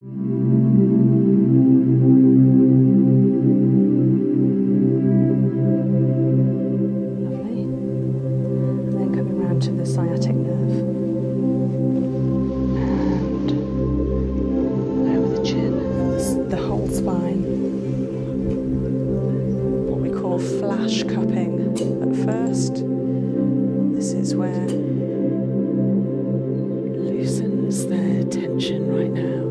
Lovely. And then coming round to the sciatic nerve. And over the chin. The whole spine. What we call flash cupping at first. This is where loosens their tension right now.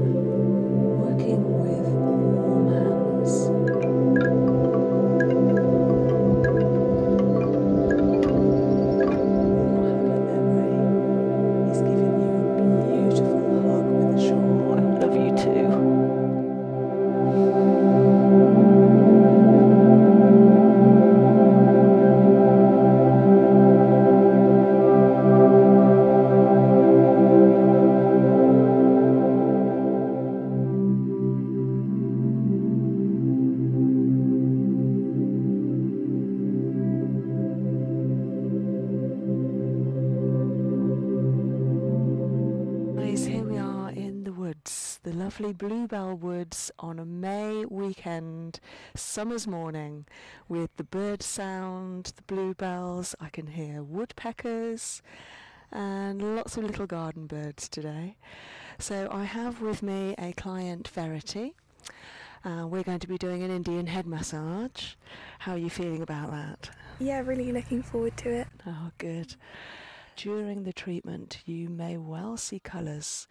Working with warm hands. Memory is giving you a beautiful hug with a I love you too here we are in the woods, the lovely Bluebell Woods on a May weekend, summer's morning with the bird sound, the bluebells. I can hear woodpeckers and lots of little garden birds today. So I have with me a client, Verity. Uh, we're going to be doing an Indian head massage. How are you feeling about that? Yeah, really looking forward to it. Oh, good. During the treatment, you may well see colours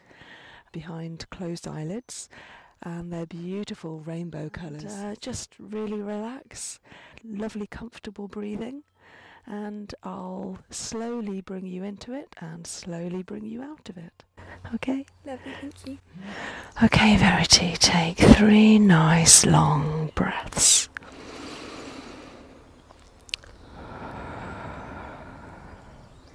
behind closed eyelids and they're beautiful rainbow uh, colours. just really relax, lovely, comfortable breathing, and I'll slowly bring you into it and slowly bring you out of it. Okay? Lovely, thank you. Okay, Verity, take three nice long breaths.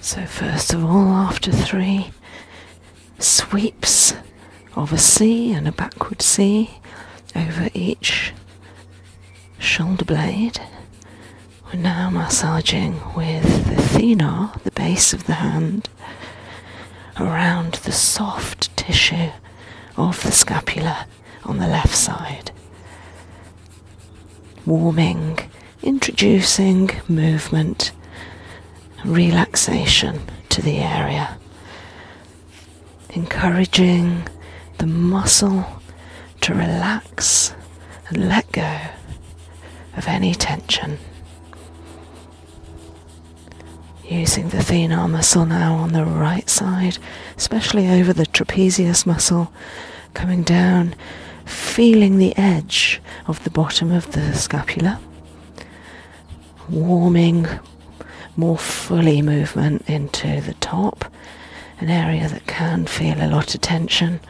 So, first of all, after three sweeps of a C and a backward C over each shoulder blade, we're now massaging with the thenar, the base of the hand, around the soft tissue of the scapula on the left side. Warming, introducing movement, relaxation to the area, encouraging the muscle to relax and let go of any tension. Using the thenar muscle now on the right side, especially over the trapezius muscle, coming down, feeling the edge of the bottom of the scapula, warming more fully movement into the top, an area that can feel a lot of tension,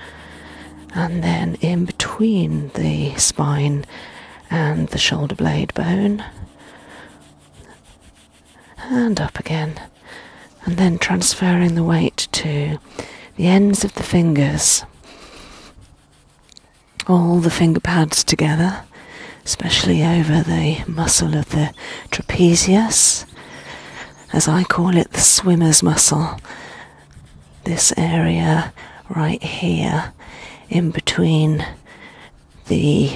and then in between the spine and the shoulder blade bone, and up again, and then transferring the weight to the ends of the fingers, all the finger pads together. Especially over the muscle of the trapezius, as I call it, the swimmer's muscle. This area right here, in between the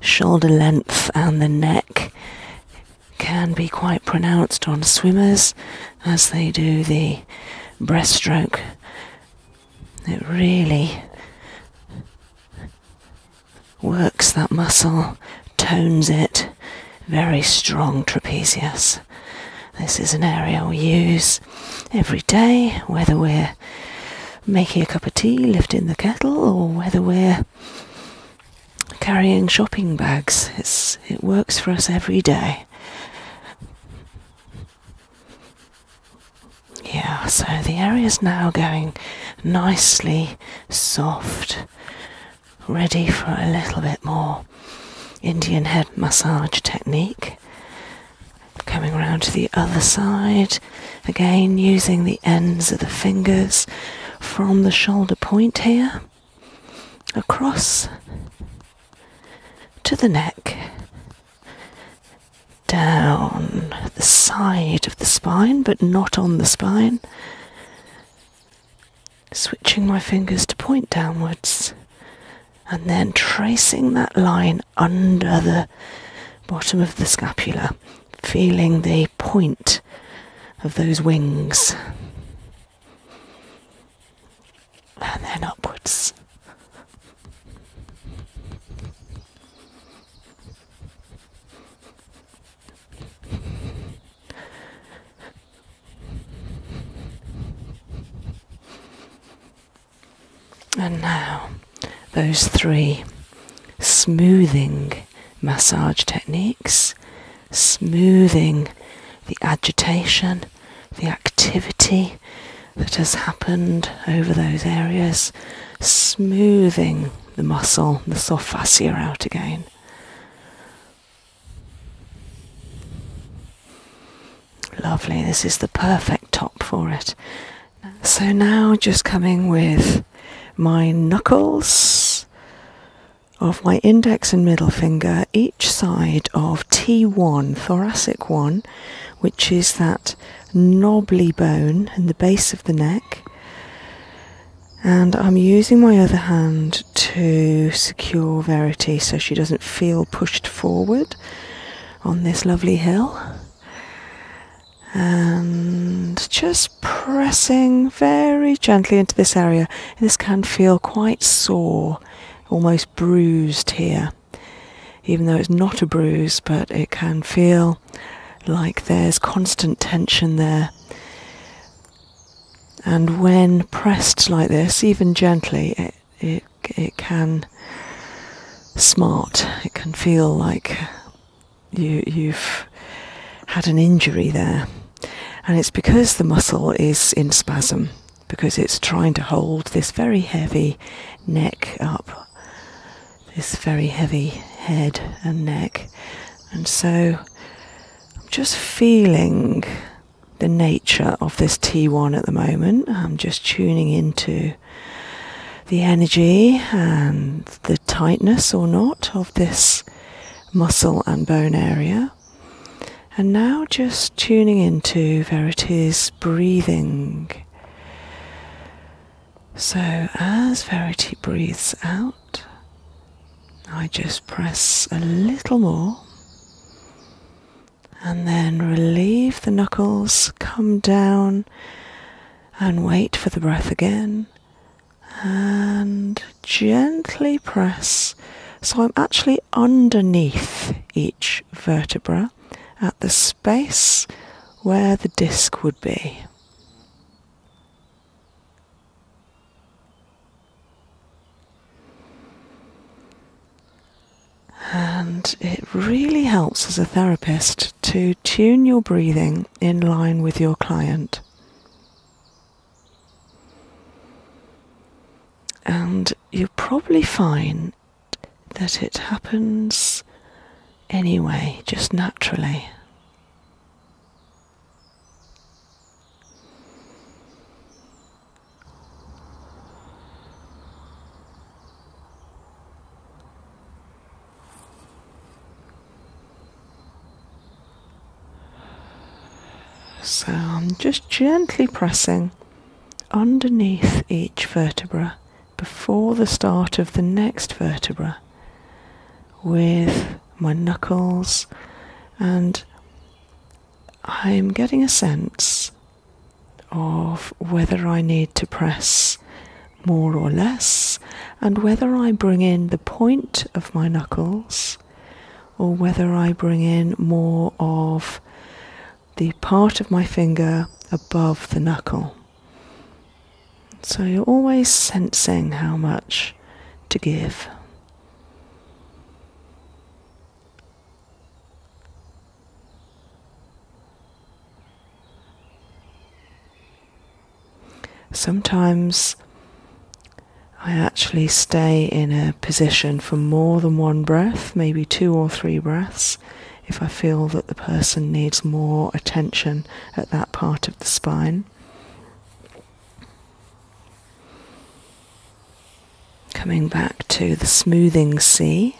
shoulder length and the neck, can be quite pronounced on swimmers as they do the breaststroke. It really works that muscle, tones it. Very strong trapezius. This is an area we use every day, whether we're making a cup of tea, lifting the kettle, or whether we're carrying shopping bags. It's, it works for us every day. Yeah, so the area's now going nicely soft ready for a little bit more Indian head massage technique. Coming around to the other side, again using the ends of the fingers from the shoulder point here, across to the neck, down the side of the spine, but not on the spine, switching my fingers to point downwards and then tracing that line under the bottom of the scapula, feeling the point of those wings, and then upwards. And now, those three smoothing massage techniques, smoothing the agitation, the activity that has happened over those areas, smoothing the muscle, the soft fascia out again. Lovely, this is the perfect top for it. So now just coming with my knuckles of my index and middle finger each side of T1, thoracic 1, which is that knobbly bone in the base of the neck and I'm using my other hand to secure Verity so she doesn't feel pushed forward on this lovely hill. And just pressing very gently into this area. This can feel quite sore, almost bruised here, even though it's not a bruise, but it can feel like there's constant tension there and when pressed like this, even gently, it, it, it can smart. It can feel like you, you've had an injury there. And it's because the muscle is in spasm, because it's trying to hold this very heavy neck up, this very heavy head and neck. And so I'm just feeling the nature of this T1 at the moment. I'm just tuning into the energy and the tightness or not of this muscle and bone area. And now just tuning into where it is breathing. So, as Verity breathes out, I just press a little more and then relieve the knuckles, come down and wait for the breath again and gently press. So I'm actually underneath each vertebra at the space where the disc would be. And it really helps as a therapist to tune your breathing in line with your client. And you'll probably find that it happens anyway, just naturally. So I'm just gently pressing underneath each vertebra before the start of the next vertebra with my knuckles, and I'm getting a sense of whether I need to press more or less, and whether I bring in the point of my knuckles or whether I bring in more of the part of my finger above the knuckle. So you're always sensing how much to give. Sometimes I actually stay in a position for more than one breath, maybe two or three breaths, if I feel that the person needs more attention at that part of the spine. Coming back to the smoothing sea.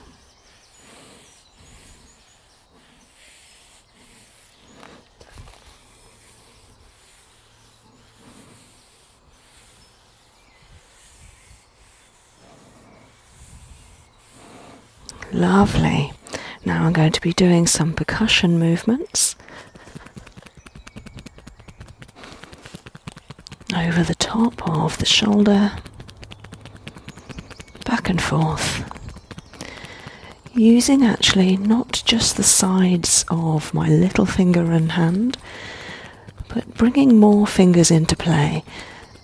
Lovely. Now I'm going to be doing some percussion movements over the top of the shoulder, back and forth, using actually not just the sides of my little finger and hand, but bringing more fingers into play,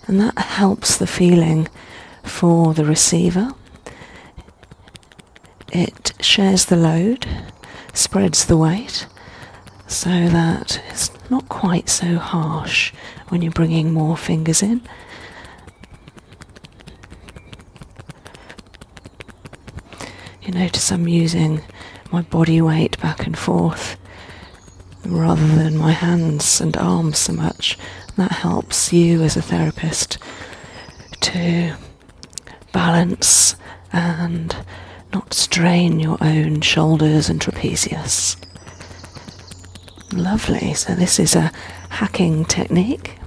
and that helps the feeling for the receiver it shares the load, spreads the weight, so that it's not quite so harsh when you're bringing more fingers in. You notice I'm using my body weight back and forth rather than my hands and arms so much. That helps you as a therapist to balance and not strain your own shoulders and trapezius. Lovely, so this is a hacking technique.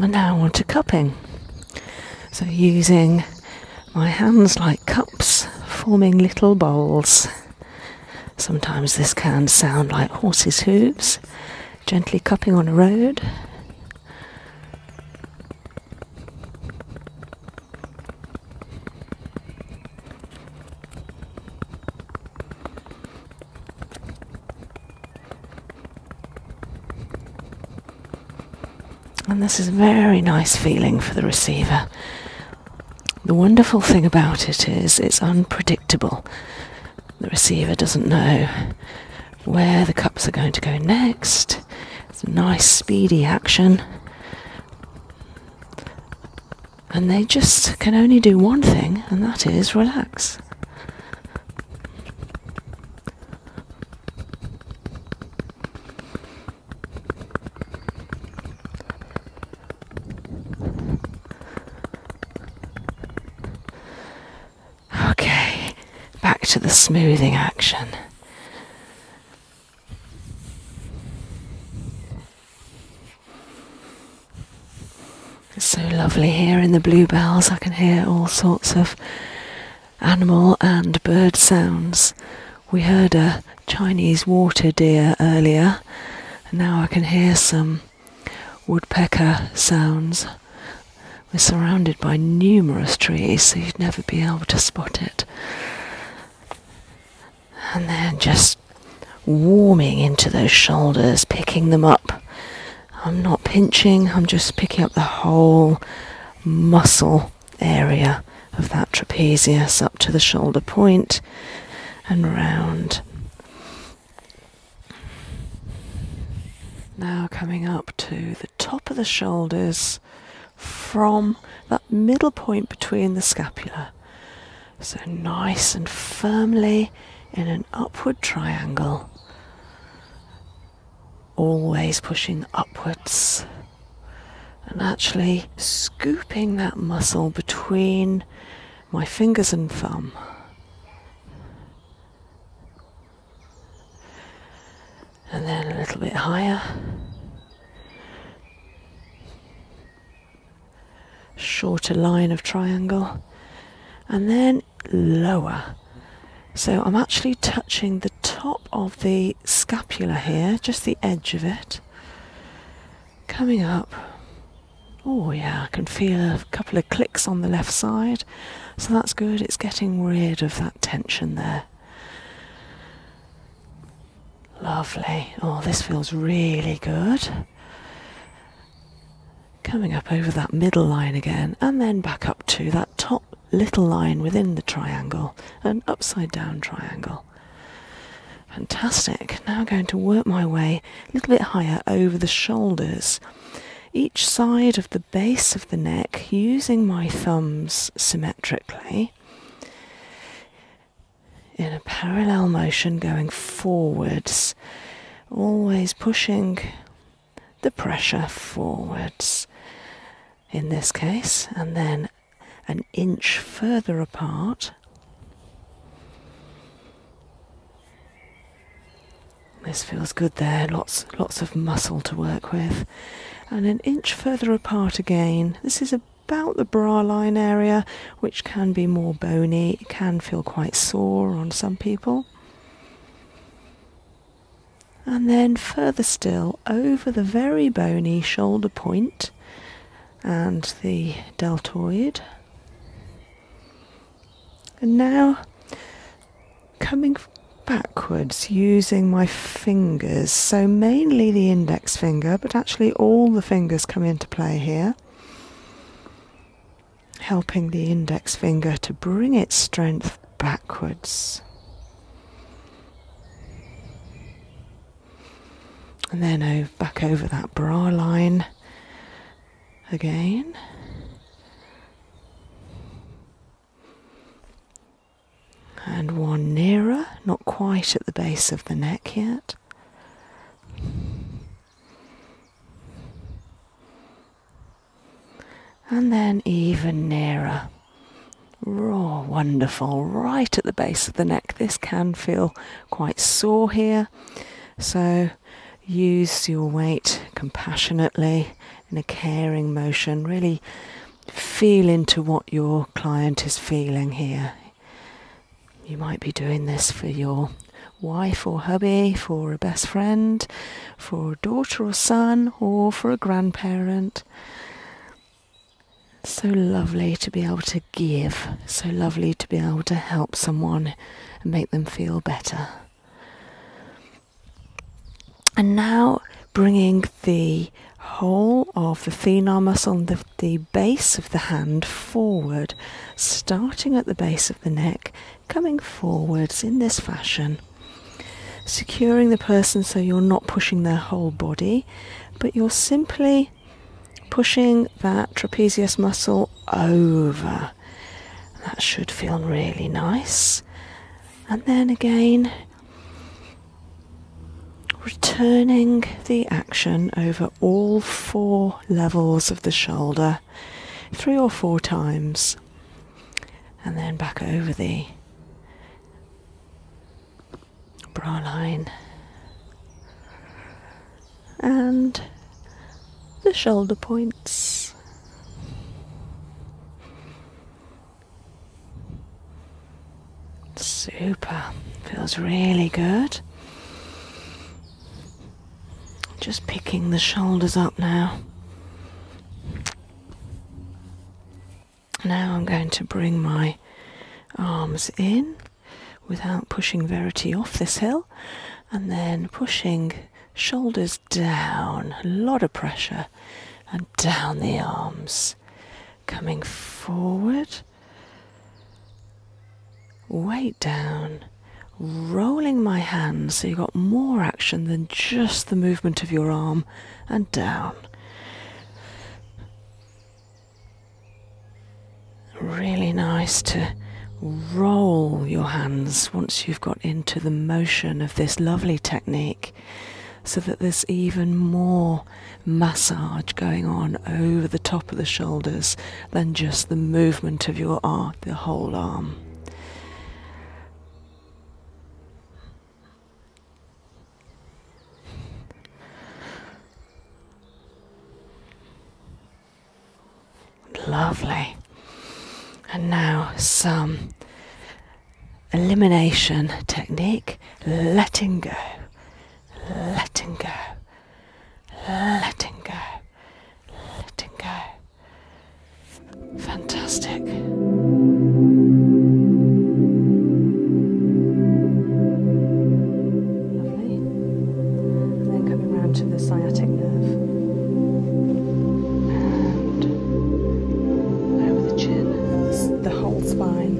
And now on to cupping. So using my hands like cups, forming little bowls. Sometimes this can sound like horses' hooves gently cupping on a road. And this is a very nice feeling for the receiver. The wonderful thing about it is it's unpredictable. The receiver doesn't know where the cups are going to go next. It's a nice, speedy action. And they just can only do one thing, and that is relax. Okay, back to the smoothing action. It's so lovely here in the bluebells, I can hear all sorts of animal and bird sounds. We heard a Chinese water deer earlier, and now I can hear some woodpecker sounds. We're surrounded by numerous trees, so you'd never be able to spot it. And then just warming into those shoulders, picking them up. I'm not pinching, I'm just picking up the whole muscle area of that trapezius up to the shoulder point and round. Now coming up to the top of the shoulders from that middle point between the scapula. So nice and firmly in an upward triangle. Always pushing upwards and actually scooping that muscle between my fingers and thumb and then a little bit higher. Shorter line of triangle and then lower. So I'm actually touching the top of the scapula here, just the edge of it, coming up Oh, yeah, I can feel a couple of clicks on the left side, so that's good. It's getting rid of that tension there. Lovely. Oh, this feels really good. Coming up over that middle line again, and then back up to that top little line within the triangle, an upside down triangle. Fantastic. Now I'm going to work my way a little bit higher over the shoulders. Each side of the base of the neck, using my thumbs symmetrically, in a parallel motion going forwards, always pushing the pressure forwards in this case, and then an inch further apart. This feels good there, lots lots of muscle to work with. And an inch further apart again. This is about the bra line area, which can be more bony, it can feel quite sore on some people. And then further still over the very bony shoulder point and the deltoid. And now coming backwards using my fingers, so mainly the index finger, but actually all the fingers come into play here, helping the index finger to bring its strength backwards. And then over back over that bra line again. And one nearer, not quite at the base of the neck yet. And then even nearer. Raw, wonderful, right at the base of the neck. This can feel quite sore here. So use your weight compassionately in a caring motion. Really feel into what your client is feeling here. You might be doing this for your wife or hubby, for a best friend, for a daughter or son, or for a grandparent. So lovely to be able to give, so lovely to be able to help someone and make them feel better. And now bringing the whole of the thenar muscle on the base of the hand forward, starting at the base of the neck, coming forwards in this fashion. Securing the person so you're not pushing their whole body, but you're simply pushing that trapezius muscle over that should feel really nice. And then again, returning the action over all four levels of the shoulder three or four times. And then back over the bra line and the shoulder points. Super, feels really good. Just picking the shoulders up now. Now I'm going to bring my arms in without pushing Verity off this hill and then pushing Shoulders down, a lot of pressure, and down the arms. Coming forward, weight down, rolling my hands so you've got more action than just the movement of your arm, and down really nice to roll your hands once you've got into the motion of this lovely technique so that there's even more massage going on over the top of the shoulders than just the movement of your arm, the whole arm. Lovely. And now some elimination technique letting go, letting go, letting go, letting go. Fantastic. Lovely and then coming round to the sciatic nerve over the chin, the whole spine.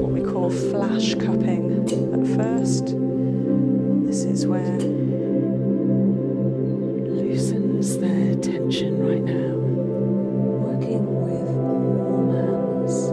What we call flash cupping at first. This is where loosens the tension right now. Working with warm hands.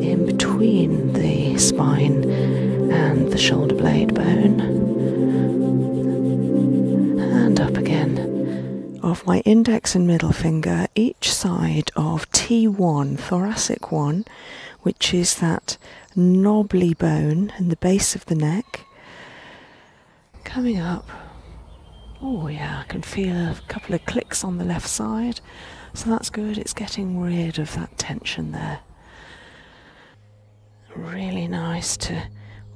In between the spine and the shoulder blade bone. And up again of my index and middle finger each side of T1, thoracic 1, which is that knobbly bone in the base of the neck. Coming up, oh yeah, I can feel a couple of clicks on the left side, so that's good, it's getting rid of that tension there. Really nice to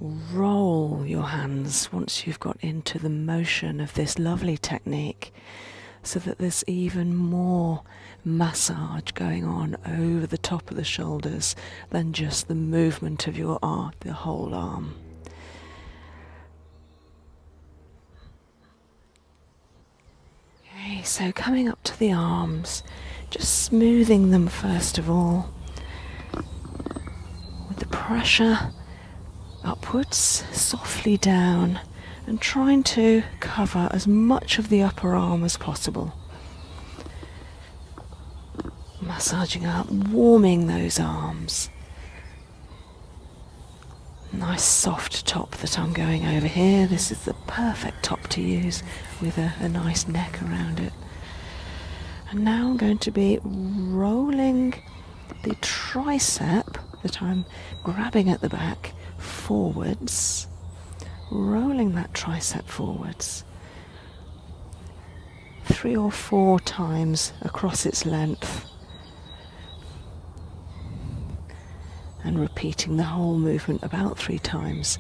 roll your hands once you've got into the motion of this lovely technique so that there's even more massage going on over the top of the shoulders than just the movement of your arm, the whole arm. Okay, so coming up to the arms, just smoothing them first of all with the pressure upwards, softly down, and trying to cover as much of the upper arm as possible. Massaging up, warming those arms. Nice soft top that I'm going over here. This is the perfect top to use with a, nice neck around it. And now I'm going to be rolling the tricep that I'm grabbing at the back forwards, rolling that tricep forwards three or four times across its length, and repeating the whole movement about three times,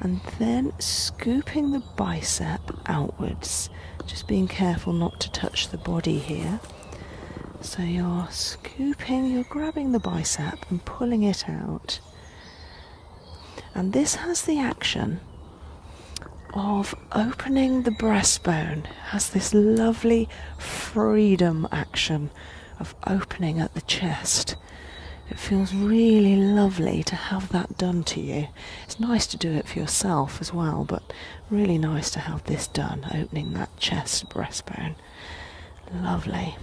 and then scooping the bicep outwards, just being careful not to touch the body here. So you're scooping, you're grabbing the bicep and pulling it out. And this has the action of opening the breastbone, has this lovely freedom action of opening at the chest. It feels really lovely to have that done to you. It's nice to do it for yourself as well, but really nice to have this done, opening that chest breastbone. Lovely.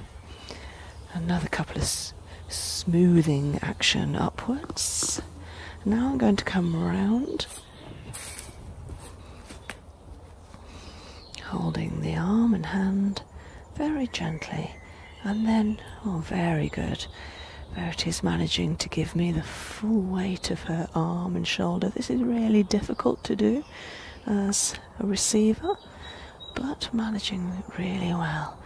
Another couple of smoothing action upwards. Now I'm going to come around, holding the arm and hand very gently, and then, oh, very good. Verity's managing to give me the full weight of her arm and shoulder. This is really difficult to do as a receiver, but managing really well.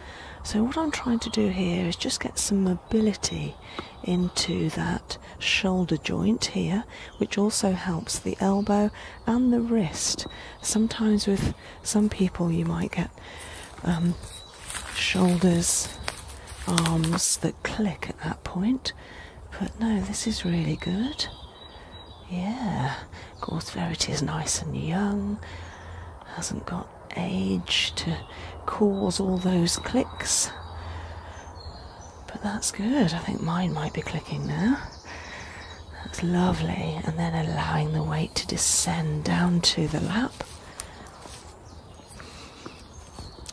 So, what I'm trying to do here is just get some mobility into that shoulder joint here, which also helps the elbow and the wrist. Sometimes, with some people, you might get um, shoulders, arms that click at that point. But no, this is really good. Yeah, of course, Verity is nice and young, hasn't got age to cause all those clicks. But that's good. I think mine might be clicking now. That's lovely. And then allowing the weight to descend down to the lap.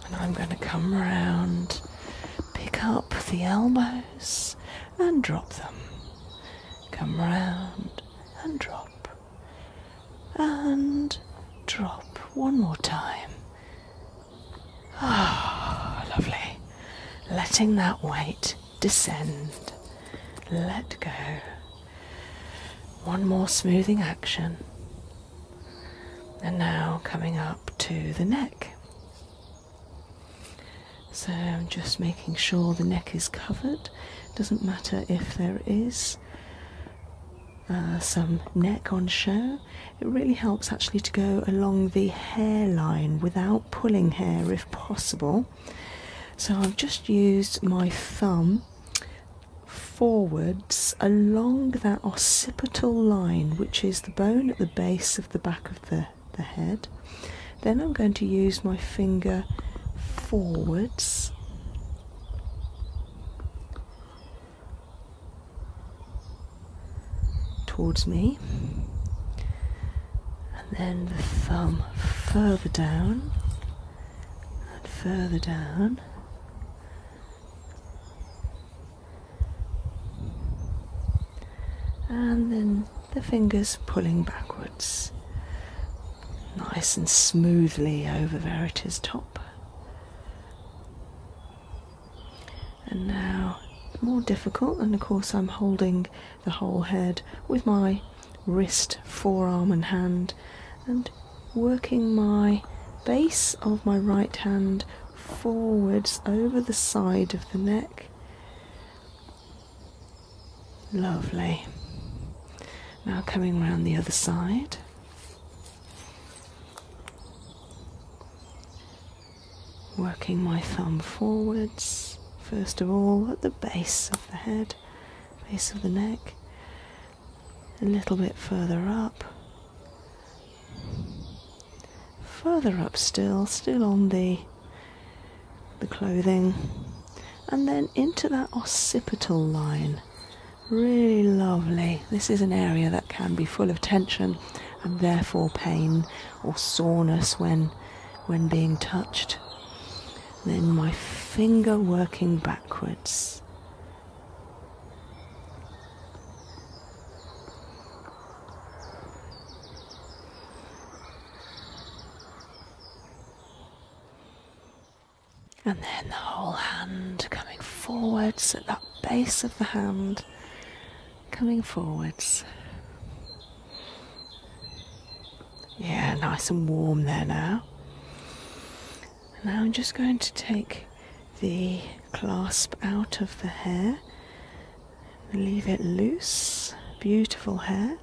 And I'm going to come round, pick up the elbows and drop them. Come round and drop. And drop one more time. Ah, lovely. Letting that weight descend. Let go. One more smoothing action and now coming up to the neck. So I'm just making sure the neck is covered. Doesn't matter if there is uh, some neck on show. It really helps actually to go along the hairline without pulling hair if possible. So I've just used my thumb forwards along that occipital line, which is the bone at the base of the back of the, the head. Then I'm going to use my finger forwards. Towards me, and then the thumb further down and further down and then the fingers pulling backwards nice and smoothly over Verita's top. And now, more difficult, and of course, I'm holding the whole head with my wrist, forearm, and hand, and working my base of my right hand forwards over the side of the neck. Lovely. Now coming round the other side. Working my thumb forwards, first of all at the base of the head, base of the neck, a little bit further up, further up still, still on the the clothing, and then into that occipital line. Really lovely. This is an area that can be full of tension and therefore pain or soreness when when being touched. Then my finger working backwards and then the whole hand coming forwards at that base of the hand, coming forwards. Yeah, nice and warm there now. And now I'm just going to take the clasp out of the hair, leave it loose, beautiful hair.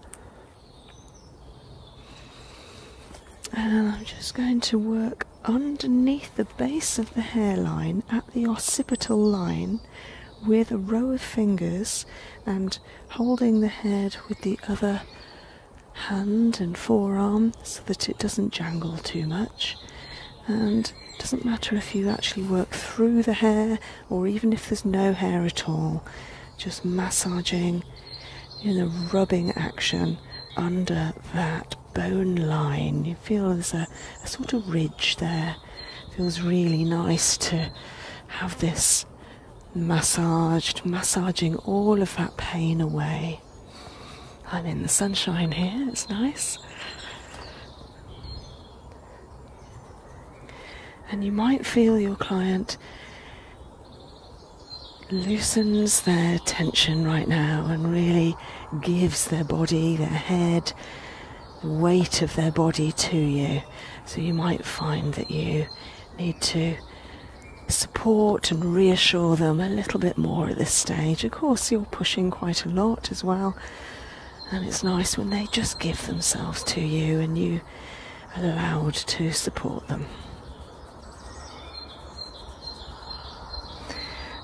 And I'm just going to work underneath the base of the hairline at the occipital line with a row of fingers and holding the head with the other hand and forearm so that it doesn't jangle too much. And it doesn't matter if you actually work through the hair or even if there's no hair at all, just massaging in a rubbing action under that bone line. You feel there's a, a sort of ridge there. It feels really nice to have this massaged, massaging all of that pain away. I'm in the sunshine here, it's nice. And you might feel your client loosens their tension right now and really gives their body, their head, the weight of their body to you. So you might find that you need to support and reassure them a little bit more at this stage of course you're pushing quite a lot as well. And it's nice when they just give themselves to you and you are allowed to support them.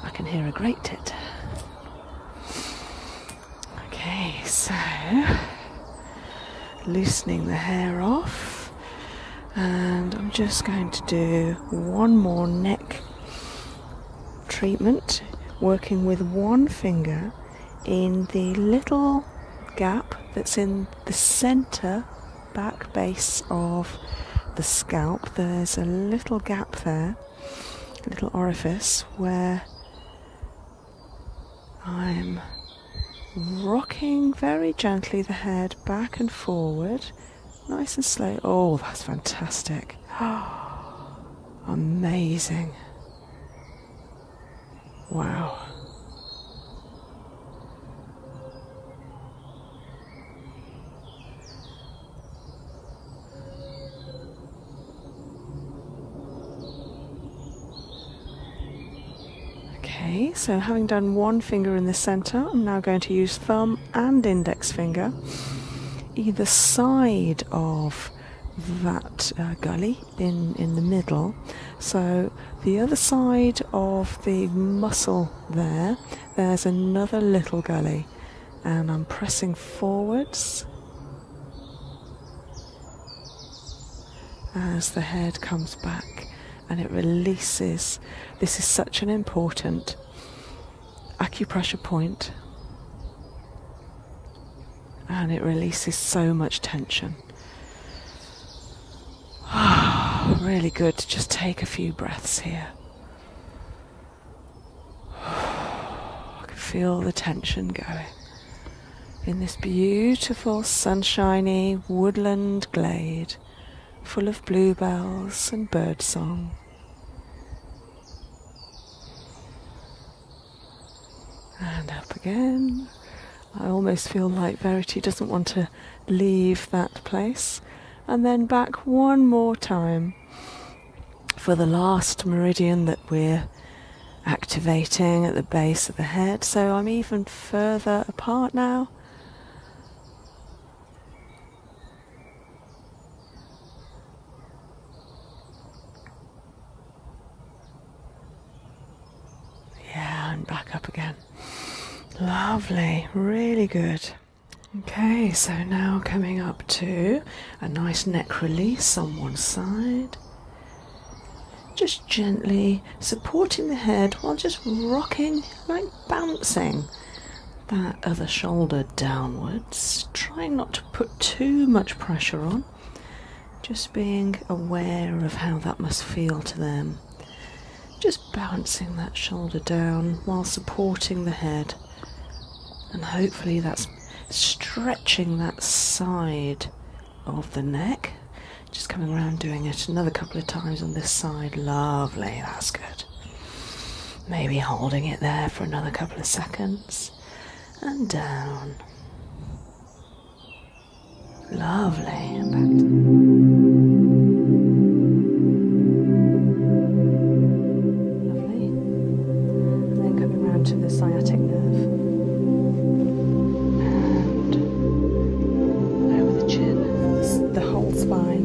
I can hear a great tit. Okay, so loosening the hair off, and I'm just going to do one more neck treatment, working with one finger in the little gap that's in the center back base of the scalp. There's a little gap there, a little orifice where I'm rocking very gently the head back and forward Nice and slow. Oh, that's fantastic. Amazing. Wow. Okay, so having done one finger in the center, I'm now going to use thumb and index finger either side of that uh, gully in, in the middle. So the other side of the muscle there, there's another little gully and I'm pressing forwards as the head comes back and it releases. This is such an important acupressure point and it releases so much tension. really good to just take a few breaths here. I can feel the tension going in this beautiful sunshiny woodland glade full of bluebells and birdsong. And up again. I almost feel like Verity doesn't want to leave that place. And then back one more time for the last meridian that we're activating at the base of the head. So I'm even further apart now. Yeah, and back up again. Lovely, really good. Okay, so now coming up to a nice neck release on one side. Just gently supporting the head while just rocking like bouncing that other shoulder downwards. trying not to put too much pressure on, just being aware of how that must feel to them. Just balancing that shoulder down while supporting the head, and hopefully that's stretching that side of the neck. Just coming around doing it another couple of times on this side. Lovely, that's good. Maybe holding it there for another couple of seconds and down. Lovely. Lovely. And then coming round to the sciatic nerve. And over the chin, the whole spine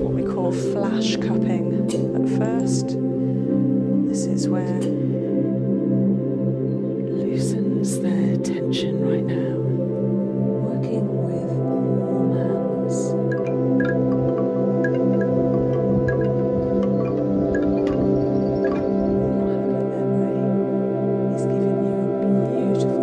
what we call flash cupping at first. This is where loosens their tension right now. Working with warm hands. Warm hand memory is giving you beautiful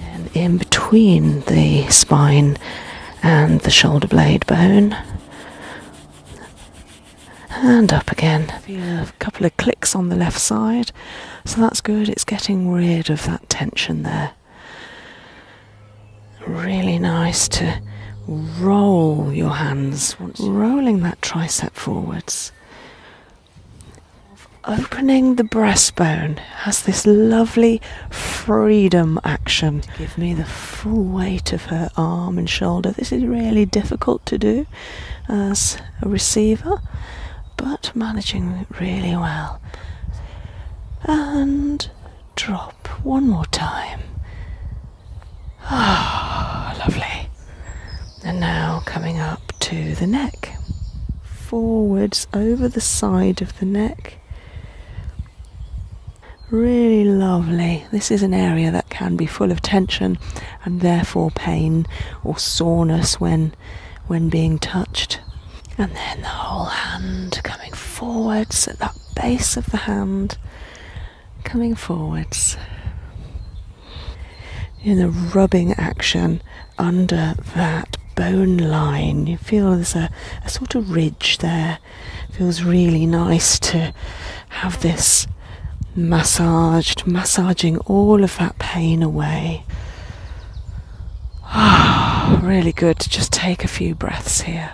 And in between the spine and the shoulder blade bone. And up again. a couple of clicks on the left side, so that's good. It's getting rid of that tension there. Really nice to roll your hands, rolling that tricep forwards. Opening the breastbone has this lovely freedom action. give me the full weight of her arm and shoulder. This is really difficult to do as a receiver but managing really well. And drop one more time. Ah, lovely. And now coming up to the neck. Forwards over the side of the neck. Really lovely. This is an area that can be full of tension and therefore pain or soreness when when being touched. And then the whole hand coming forwards at that base of the hand, coming forwards. In the rubbing action under that bone line, you feel there's a, sort of ridge there. feels really nice to have this massaged, massaging all of that pain away. really good to just take a few breaths here.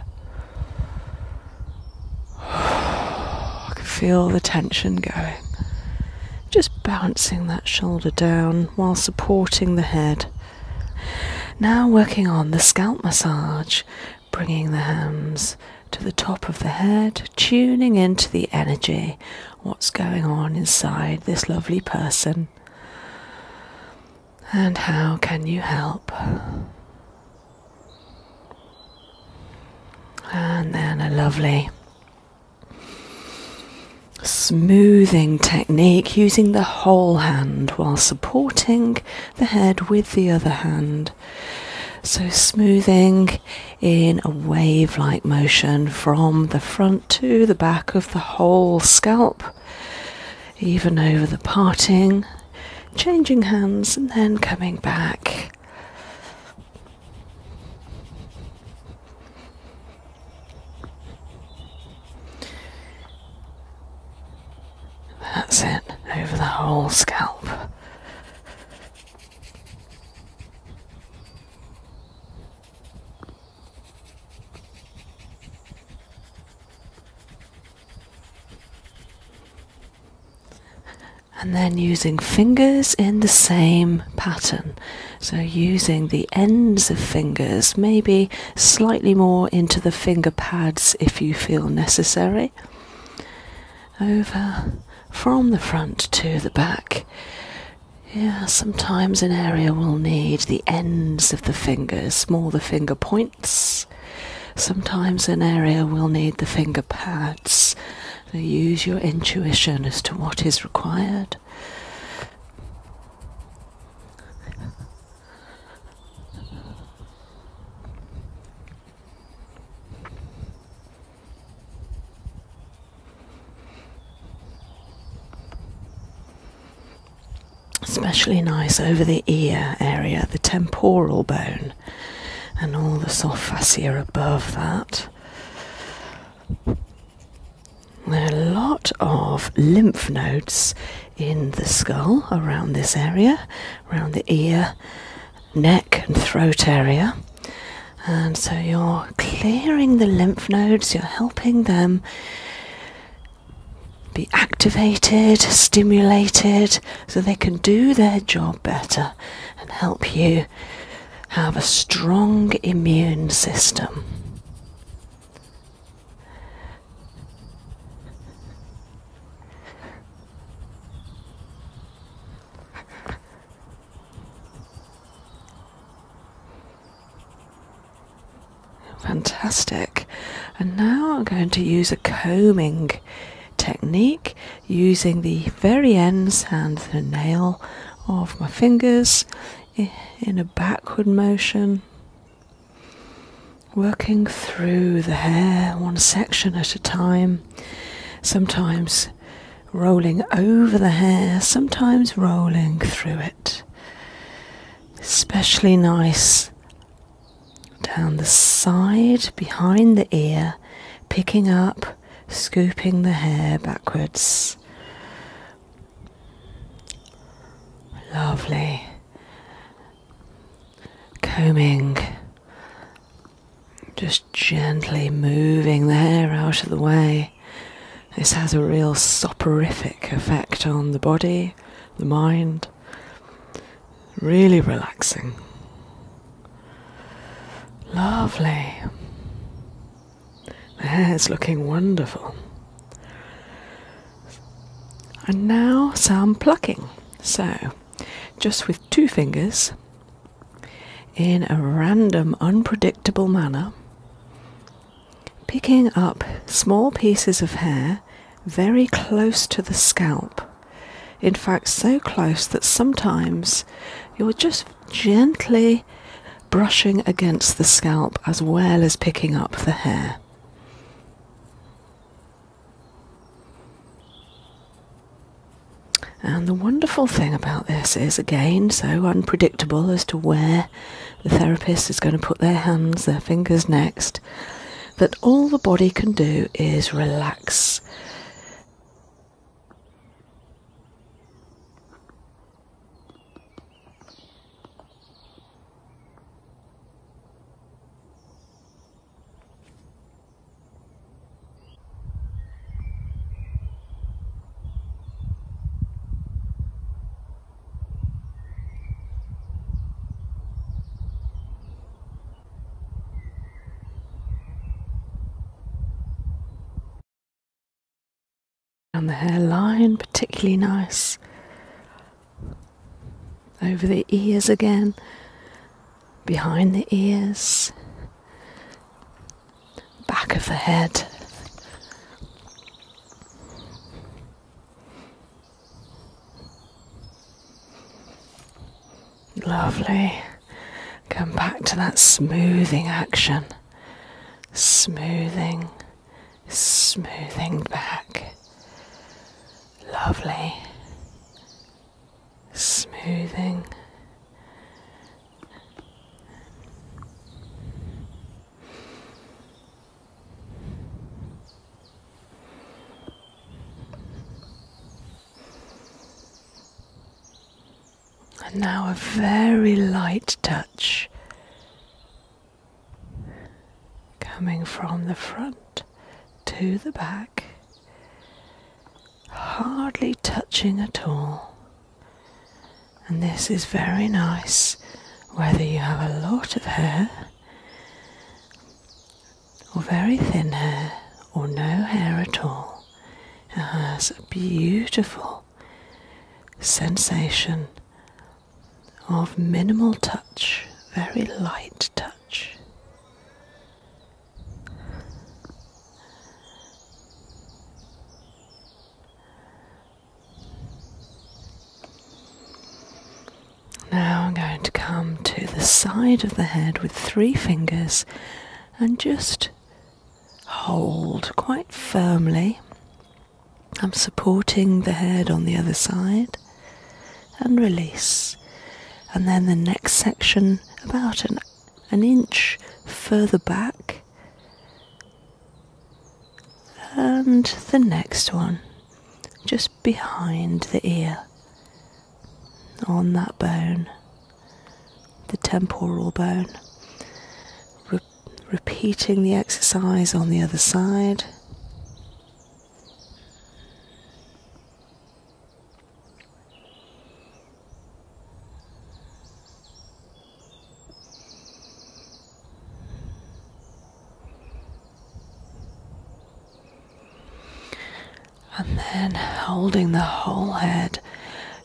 I can feel the tension going. Just balancing that shoulder down while supporting the head. Now working on the scalp massage, bringing the hands to the top of the head, tuning into the energy, what's going on inside this lovely person. And how can you help? And then a lovely smoothing technique using the whole hand while supporting the head with the other hand. So, smoothing in a wave like motion from the front to the back of the whole scalp even over the parting, changing hands and then coming back. That's it, over the whole scalp and then using fingers in the same pattern. So, using the ends of fingers, maybe slightly more into the finger pads if you feel necessary, over from the front to the back, yeah, sometimes an area will need the ends of the fingers, smaller finger points. Sometimes an area will need the finger pads. use your intuition as to what is required especially nice over the ear area, the temporal bone, and all the soft fascia above that. There are a lot of lymph nodes in the skull around this area, around the ear, neck, and throat area. And so you're clearing the lymph nodes, you're helping them be activated, stimulated, so they can do their job better and help you have a strong immune system. Fantastic. And now I'm going to use a combing technique using the very ends and the nail of my fingers in a backward motion, working through the hair one section at a time, sometimes rolling over the hair, sometimes rolling through it especially nice down the side, behind the ear, picking up, scooping the hair backwards. Lovely. Combing, just gently moving the hair out of the way. This has a real soporific effect on the body, the mind. Really relaxing. Lovely. The hair's looking wonderful. And now some plucking. So, just with two fingers, in a random, unpredictable manner, picking up small pieces of hair very close to the scalp. In fact, so close that sometimes you're just gently brushing against the scalp as well as picking up the hair. And the wonderful thing about this is again so unpredictable as to where the therapist is going to put their hands, their fingers next. That all the body can do is relax. Down the hairline, particularly nice. Over the ears again, behind the ears, back of the head. Lovely. Come back to that smoothing action. Smoothing, smoothing back. Lovely. Smoothing. And now a very light touch coming from the front to the back, hardly touching at all and this is very nice whether you have a lot of hair or very thin hair or no hair at all. It has a beautiful sensation of minimal touch, very light touch. Now I'm going to come to the side of the head with three fingers and just hold quite firmly. I'm supporting the head on the other side and release. And then the next section, about an, an inch further back, and the next one just behind the ear on that bone, the temporal bone. repeating the exercise on the other side. And then holding the whole head,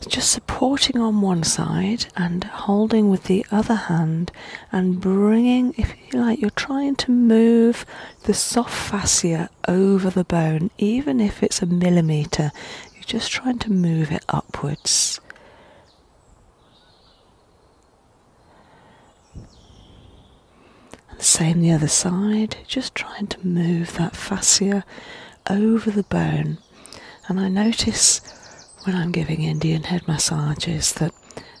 just supporting on one side and holding with the other hand, and bringing, if you like, you're trying to move the soft fascia over the bone, even if it's a millimetre, you're just trying to move it upwards. And the same the other side, just trying to move that fascia over the bone. And I notice when I'm giving Indian head massages that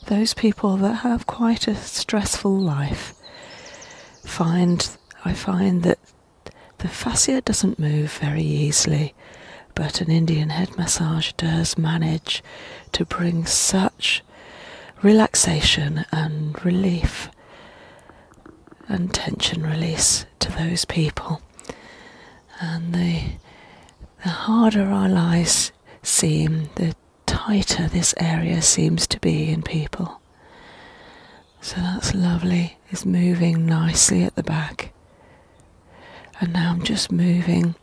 those people that have quite a stressful life find I find that the fascia doesn't move very easily but an Indian head massage does manage to bring such relaxation and relief and tension release to those people. And the, the harder our lives seem, the tighter this area seems to be in people. So that's lovely. It's moving nicely at the back and now I'm just moving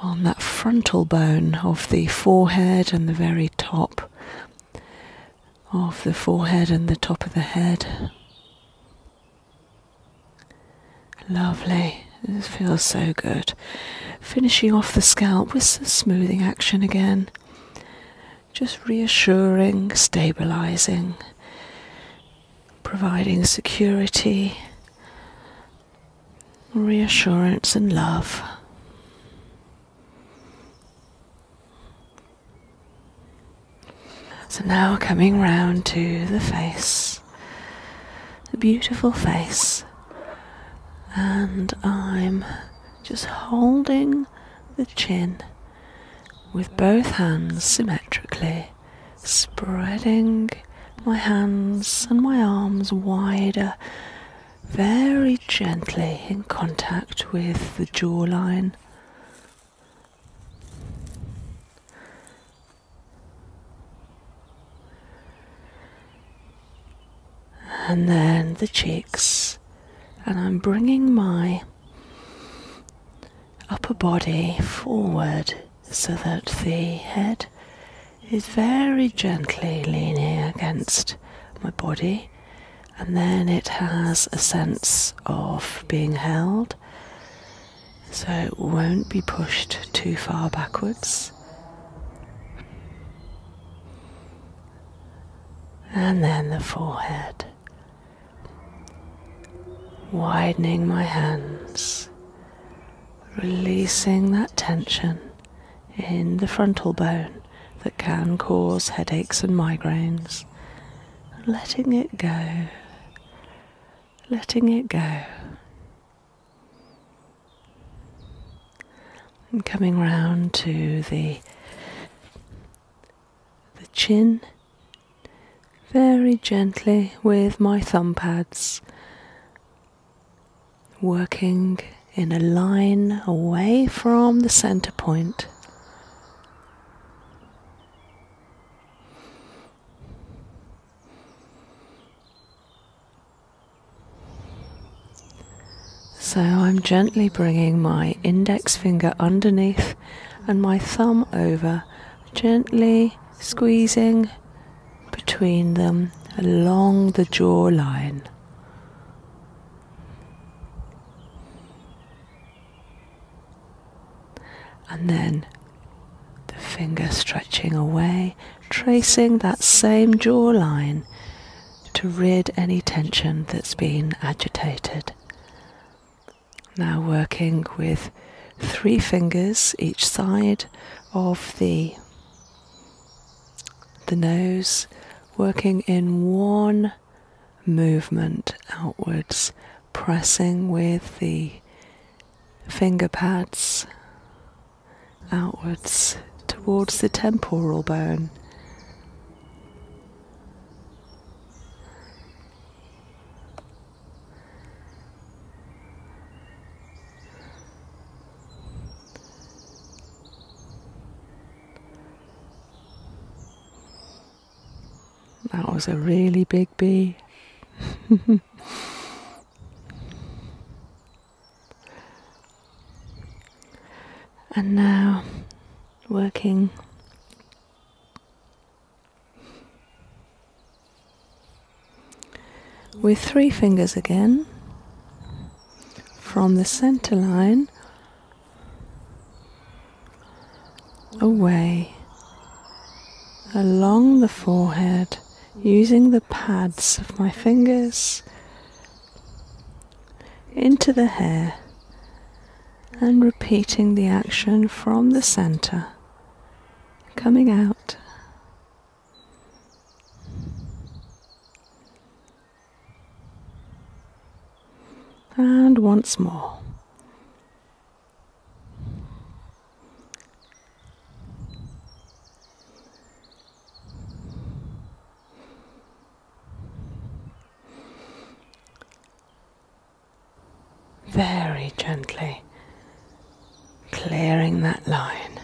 on that frontal bone of the forehead and the very top of the forehead and the top of the head. Lovely, this feels so good. Finishing off the scalp with some smoothing action again, just reassuring, stabilizing, providing security reassurance and love. So now coming round to the face, the beautiful face, and I'm just holding the chin with both hands symmetrically spreading my hands and my arms wider, very gently in contact with the jawline. And then the cheeks, and I'm bringing my upper body forward so that the head is very gently leaning against my body, and then it has a sense of being held, so it won't be pushed too far backwards. And then the forehead, widening my hands releasing that tension in the frontal bone that can cause headaches and migraines, letting it go, letting it go. And coming round to the the chin very gently with my thumb pads working in a line away from the center point. So I'm gently bringing my index finger underneath and my thumb over, gently squeezing between them along the jawline. And then the finger stretching away, tracing that same jawline to rid any tension that's been agitated. Now working with three fingers each side of the the nose working in one movement outwards, pressing with the finger pads outwards towards the temporal bone. That was a really big bee. and now working with three fingers again, from the center line away along the forehead using the pads of my fingers into the hair and repeating the action from the center coming out and once more. Very gently clearing that line.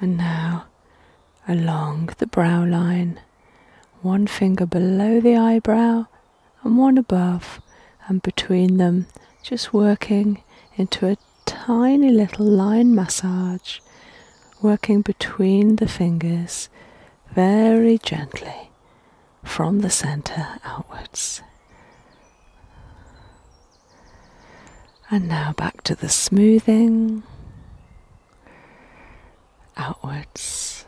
And now along the brow line, one finger below the eyebrow and one above, and between them, just working into a tiny little line massage, working between the fingers very gently from the center outwards. And now back to the smoothing outwards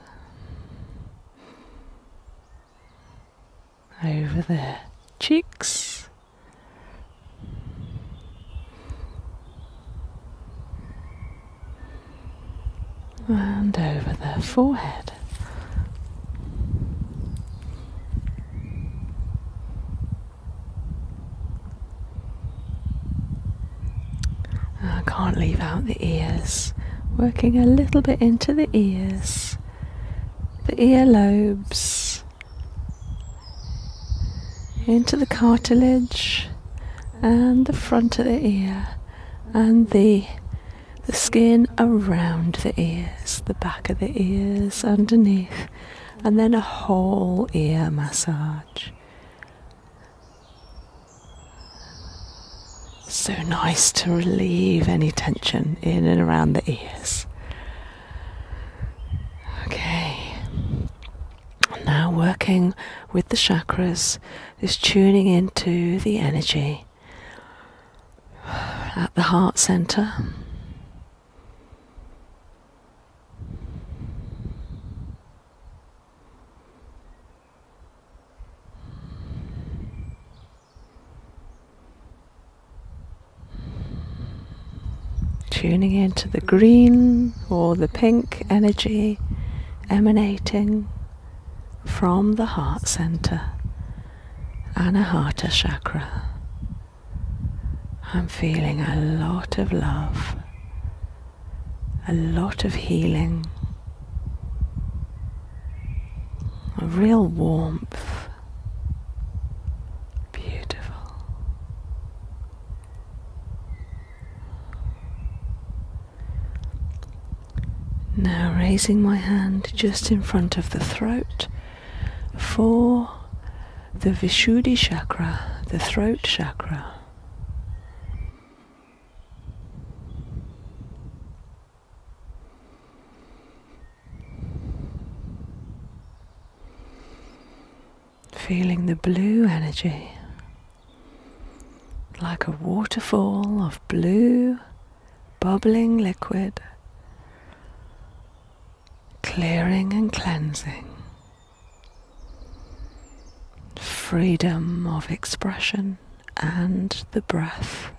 over the cheeks. And over the forehead. I can't leave out the ears. Working a little bit into the ears, the ear lobes, into the cartilage, and the front of the ear, and the the skin around the ears, the back of the ears, underneath, and then a whole ear massage. So nice to relieve any tension in and around the ears. Okay, now working with the chakras is tuning into the energy at the heart center. Tuning into the green or the pink energy emanating from the heart center, Anahata chakra. I'm feeling a lot of love, a lot of healing, a real warmth. Beautiful. Now raising my hand just in front of the throat for the Vishuddhi chakra, the throat chakra. Feeling the blue energy like a waterfall of blue bubbling liquid, clearing and cleansing, freedom of expression and the breath.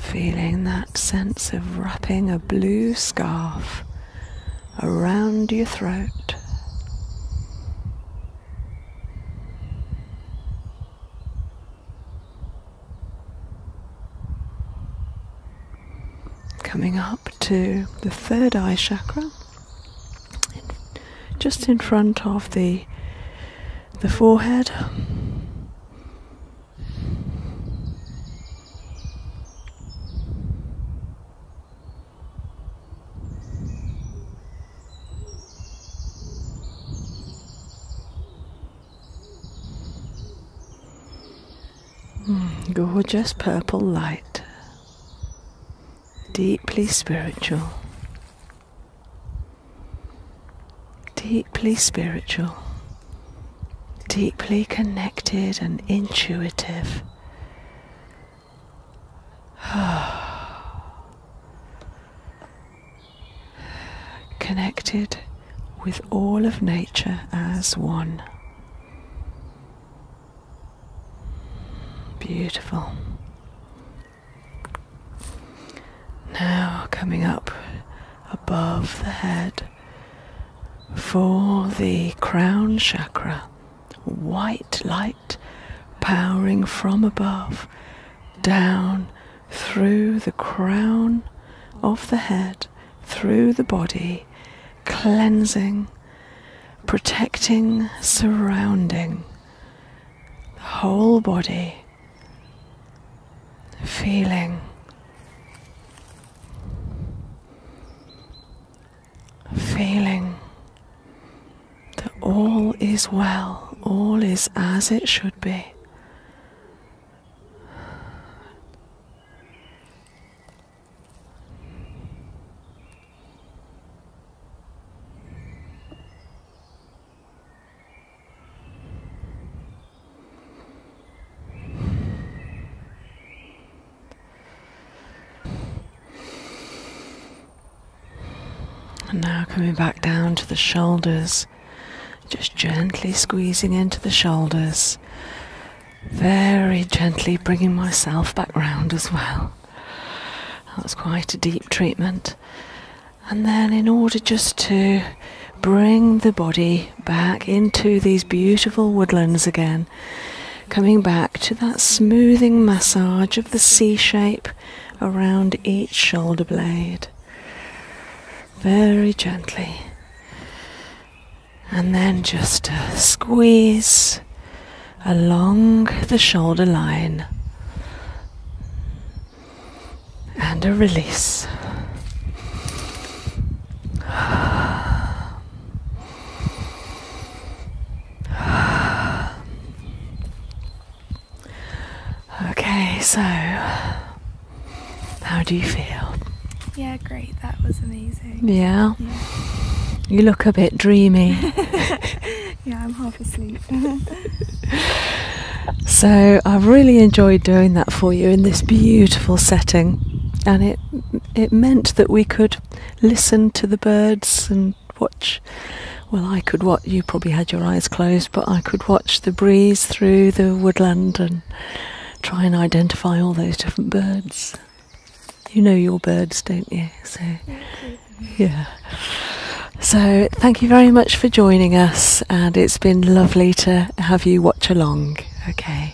Feeling that sense of wrapping a blue scarf around your throat. Coming up to the third eye chakra, just in front of the the forehead gorgeous purple light, deeply spiritual, deeply spiritual, deeply connected and intuitive. connected with all of nature as one. Beautiful. Now coming up above the head for the crown chakra, white light powering from above down through the crown of the head, through the body, cleansing, protecting, surrounding the whole body, feeling Feeling that all is well, all is as it should be. And now coming back down to the shoulders, just gently squeezing into the shoulders, very gently bringing myself back round as well. That was quite a deep treatment. And then, in order just to bring the body back into these beautiful woodlands again. Coming back to that smoothing massage of the C shape around each shoulder blade. Very gently. And then just a squeeze along the shoulder line and a release. Okay, so how do you feel? Yeah, great. That was amazing. Yeah. You look a bit dreamy. yeah, I'm half asleep. so, I've really enjoyed doing that for you in this beautiful setting, and it it meant that we could listen to the birds and watch. Well, I could watch. You probably had your eyes closed, but I could watch the breeze through the woodland and try and identify all those different birds. You know your birds, don't you? yeah. So, thank you very much for joining us, and it's been lovely to have you watch along. Okay.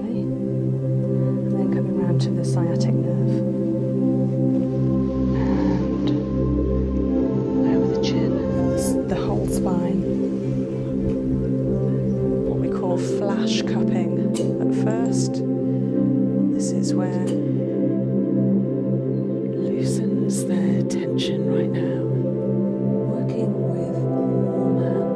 And then coming round to the sciatic nerve. And over the chin, the whole spine. What we call flash cupping at first. This is where loosens the tension right now. Working with warm hands.